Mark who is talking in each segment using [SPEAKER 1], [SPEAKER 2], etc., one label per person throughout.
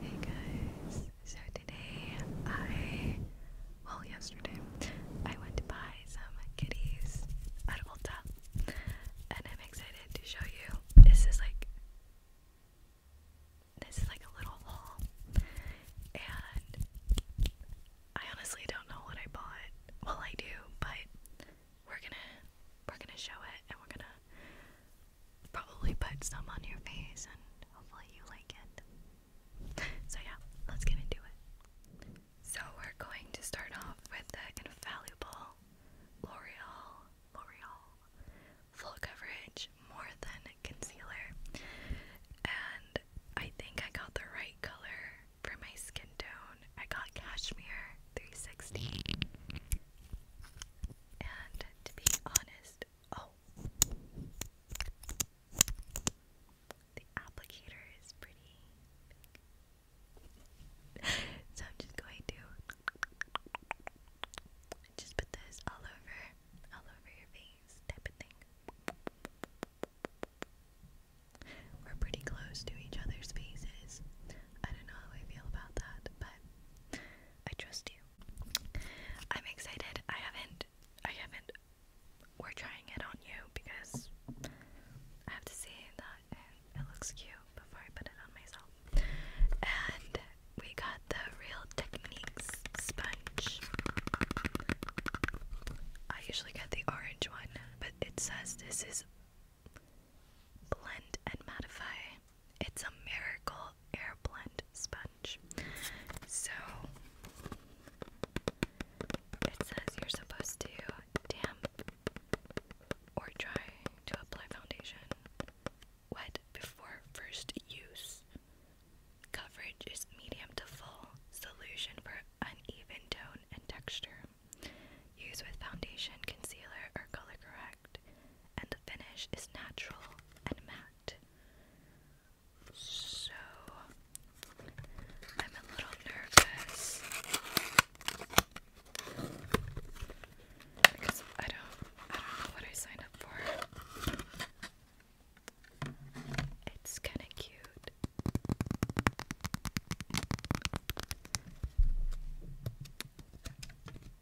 [SPEAKER 1] Hey guys, so today I, well yesterday, I went to buy some kitties at Ulta and I'm excited to show you. This is like, this is like a little haul and I honestly don't know what I bought. Well I do, but we're gonna, we're gonna show it and we're gonna probably put some on your face and hopefully you like it. So yeah, let's get into it. So we're going to start off with the invaluable L'Oreal L'Oreal full coverage more than concealer. And I think I got the right color for my skin tone. I got Cashmere 360. And to be honest, Oh. The applicator is pretty big. so I'm just going to just put this all over all over your face type of thing. We're pretty close to each other's faces. I don't know how I feel about that, but I trust you. I'm excited. I haven't I haven't we're trying it on you because I have to see that it, looks cute before I put it on myself. And we got the Real Techniques sponge. I usually get the orange one, but it says this is blend and modify. It's a miracle air blend sponge. So it says you're supposed to damp or try to apply foundation wet before first use. Coverage is medium to full solution for uneven tone and texture. Use with foundation, concealer, or color correct and the finish is natural and matte. So I'm a little nervous because I don't I don't know what I signed up for. It's kind of cute.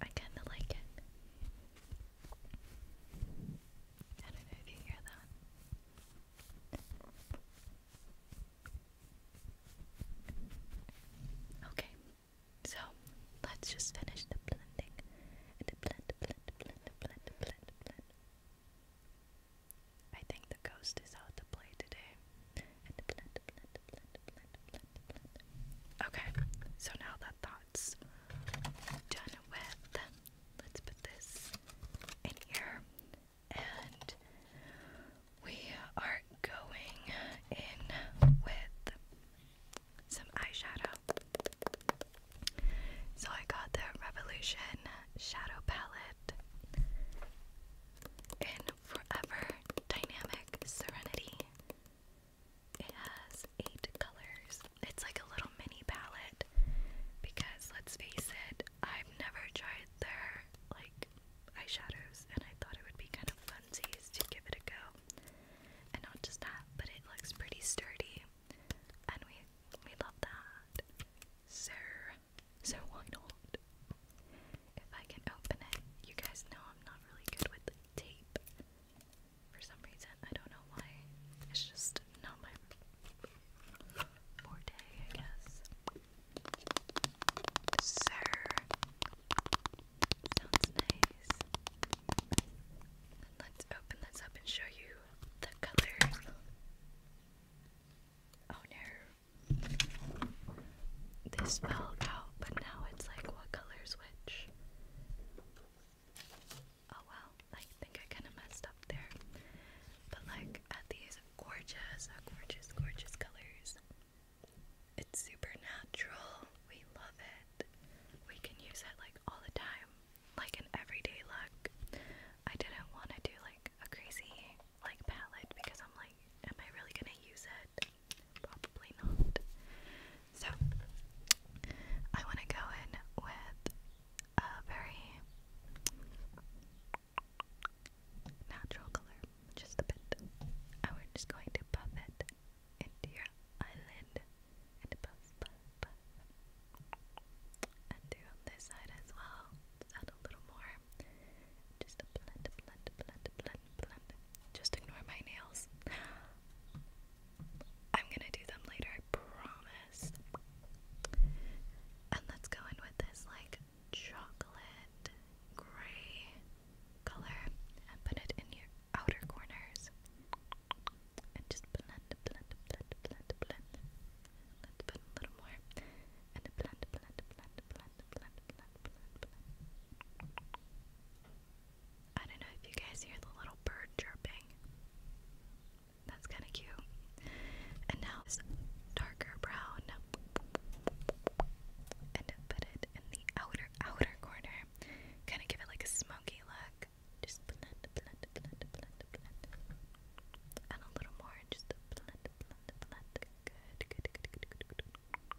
[SPEAKER 1] I kinda like it. I don't know if you hear that. Okay, so let's just finish the blending. And blend, blend, blend, blend, blend, blend. I think the ghost is out to play today. Okay, so now that that's done with, let's put this in here. And we are going in with some eyeshadow. So I got the Revolution Shadow Palette in Forever Dynamic Serenity. It has eight colors. It's like a little mini palette because let's face it, I've never tried their like eyeshadows and I thought it would be kind of funsies to give it a go. And not just that, but it looks pretty sturdy and we we love that. So so why not? If I can open it, you guys know I'm not really good with the tape for some reason. I don't know why. It's just not my forte, I guess. Sir. Sounds nice. Let's open this up and show you the color. Oh no. This fell out, but now it's like what color's which? Oh well, I think I kind of messed up there. But like at these gorgeous, uh, gorgeous, gorgeous colors. It's super natural. We love it. We can use it like all the time, like an everyday look. I didn't want to do like a crazy like palette because I'm like, am I really gonna use it? Probably not. So, I want to go in with a very natural color, just a bit. And we're just going to buff it into your eyelid and do on this side as well. Just add a little more. Just blend, blend, blend, blend, blend. Just ignore my nails. I'm gonna do them later, I promise. And let's go in with this like chocolate gray color and put it in your outer corners. And just blend, blend, blend, blend, blend. Let's put a little more. And blend, blend, blend, blend, blend, blend, blend, blend. I don't know if you guys hear the little bird chirping. That's kind of cute. And now it's darker brown. And put it in the outer, outer corner. Kind of give it like a smoky look. Just blend, blend, blend, blend, blend. And a little more. Just blend, blend, blend. Good, good, good, good, good, good.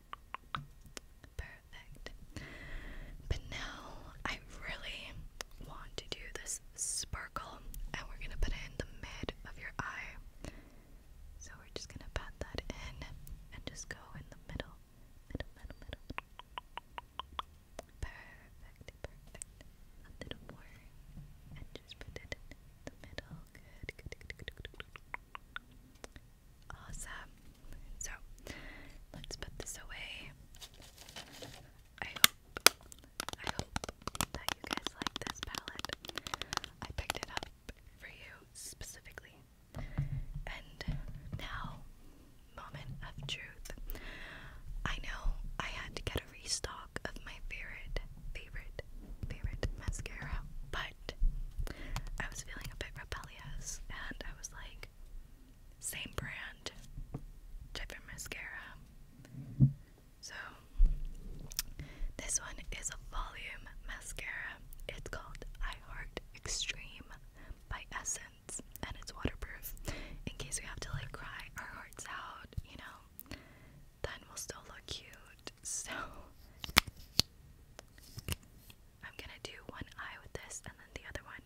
[SPEAKER 1] Perfect. now I really want to do this sparkle, and we're gonna put it in the mid of your eye. So we're just gonna pat that in and just go in the middle, middle, middle, middle. Perfect, perfect. A little more, and just put it in the middle. good. Awesome. So let's put this away. I hope, I hope that you guys like this palette. I picked it up for you specifically. And now, moment of truth. I know I had to get a restock of my favorite, favorite, favorite mascara, but I was feeling a bit rebellious and I was like, same brand, different mascara. So, this one is a volume mascara. It's called I Heart Extreme by Essence, and it's waterproof. In case we have to like cry our hearts out, you know, then we'll still look cute. So, I'm gonna do one eye with this and then the other one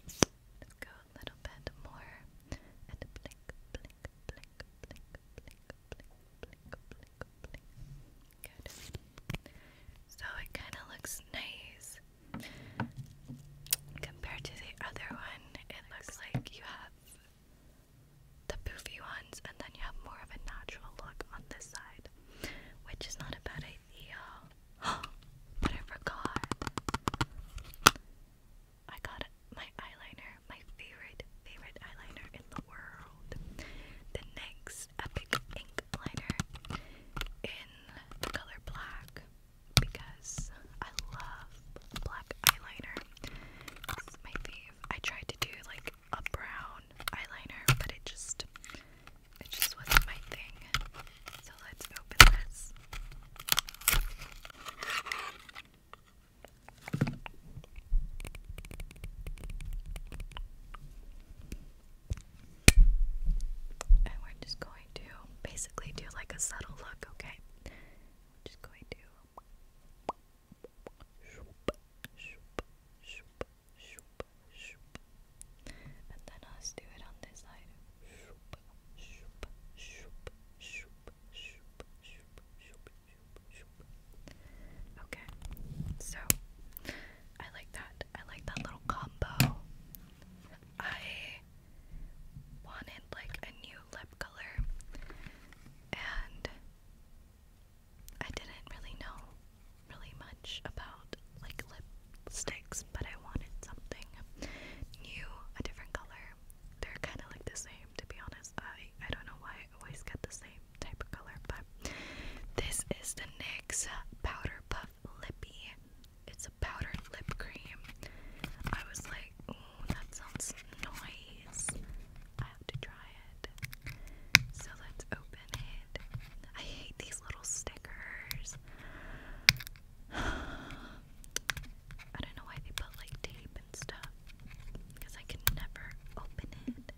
[SPEAKER 1] Let's go a little bit more So it kind of looks nice compared to the other one. It looks like you have the poofy ones, and then you have more of a natural look on this side, which is not a bad idea. but I forgot. I got my eyeliner, my favorite, favorite eyeliner in the world. The NYX Epic Ink Liner in the color black because I love black eyeliner. my fave. I tried to do like a brown eyeliner, but it just it just wasn't my thing. So let's open this. And we're just going to basically do like a subtle look, okay? Just going to Shoop, shoop, shoop, shoop, shoop. And then let's do it on this side. Shoop, shoop, shoop, shoop, shoop, shoop, shoop, shoop, shoop. Okay, so I like that. I like that little combo. I wanted like a new lip color and I didn't really know really much about like lipsticks, but I wanted something new, a different color. They're kind of like the same, to be honest. I I don't know why I always get the same type of color, but this is the NYX Powder Puff Lippy. It's a powdered lip cream. I was like, ooh, that sounds nice. I have to try it. So let's open it. I hate these little stickers. I don't know why they put like tape and stuff because I can never open it.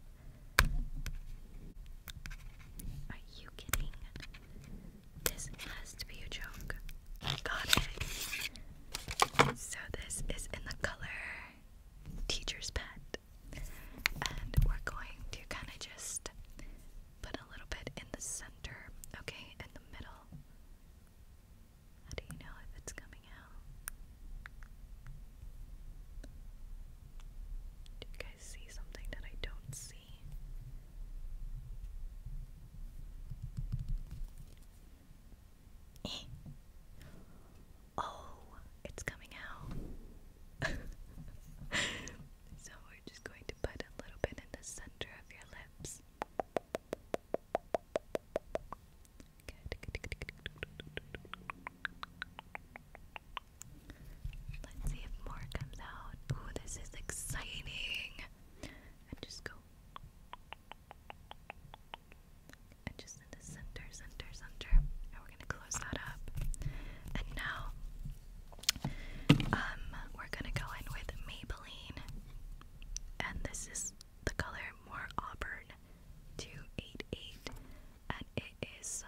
[SPEAKER 1] Are you kidding? This has to be a joke. Got it. So this is in the color Teacher's Pet and we're going to kind of just put a little bit in the center, okay, in the middle. How do you know if it's coming out? Do you guys see something that I don't see? Oh, it's coming out. so we're just going to put a little bit in the center of your lips. Good. good, good, good, good. Let's see if more comes out. Ooh, this is exciting. And just go and just in the center, center, center. And we're gonna close that up. And now, um, we're gonna go in with Maybelline, and this is the color More Auburn 288, and it is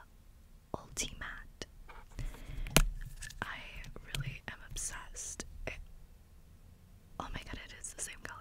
[SPEAKER 1] Ultimate. I really am obsessed. oh my god, it is the same color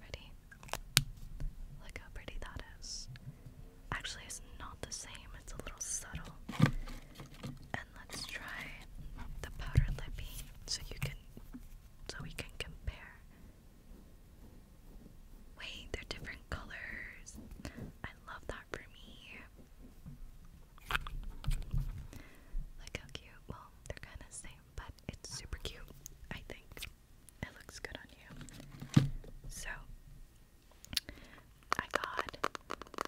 [SPEAKER 1] Ready? Look how pretty that is. Actually, it's not the same, it's a little subtle. And let's try the powder lippy so you can so we can compare. Wait, they're different colors. I love that for me. Look how cute. Well, they're kind of same, but it's super cute, I think. It looks good on you. So, I got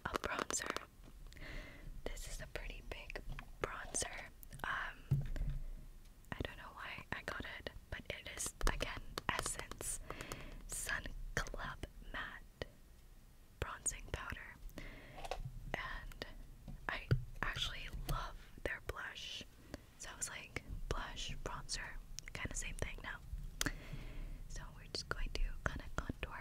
[SPEAKER 1] a bronzer. This is a pretty big bronzer. Um, I don't know why I got it, but it is again Essence Sun Club Matte Bronzing Powder. And I actually love their blush. So I was like, blush, bronzer, kind of same thing now. So we're just going to kind of contour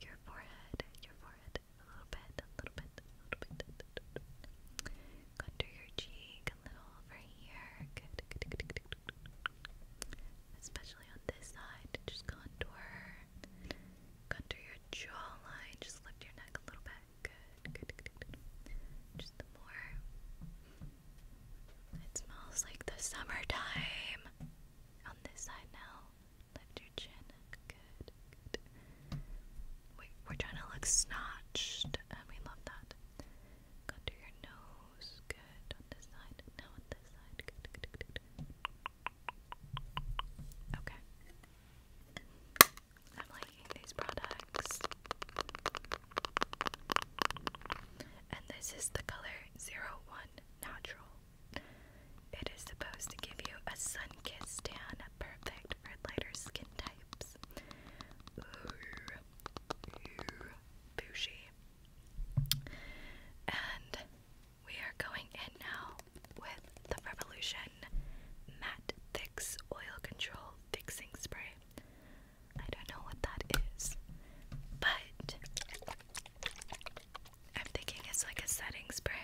[SPEAKER 1] your forehead, your forehead a little bit, a little bit, a little bit. Contour your cheek a little over here. Especially on this side, just contour. Contour your jawline, just lift your neck a little bit. Good, good, good, Just the more. It smells like the summertime. On this side now. Lift your chin. Good, we're trying to look snatched. And uh, we love that. Go your nose. Good. On this side. Now on this side. good, good, good. Okay. I'm liking these products. And this is the color 01 Natural. It is supposed to give you a sun kissed tan, perfect for lighter skin types. Ooh, bougie. And we are going in now with the Revolution Matte Fix Oil Control Fixing Spray. I don't know what that is, but I'm thinking it's like a setting spray.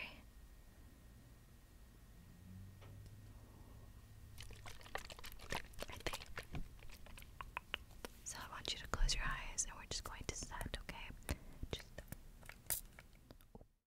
[SPEAKER 1] So I want you to close your eyes and we're just going to set, okay? Just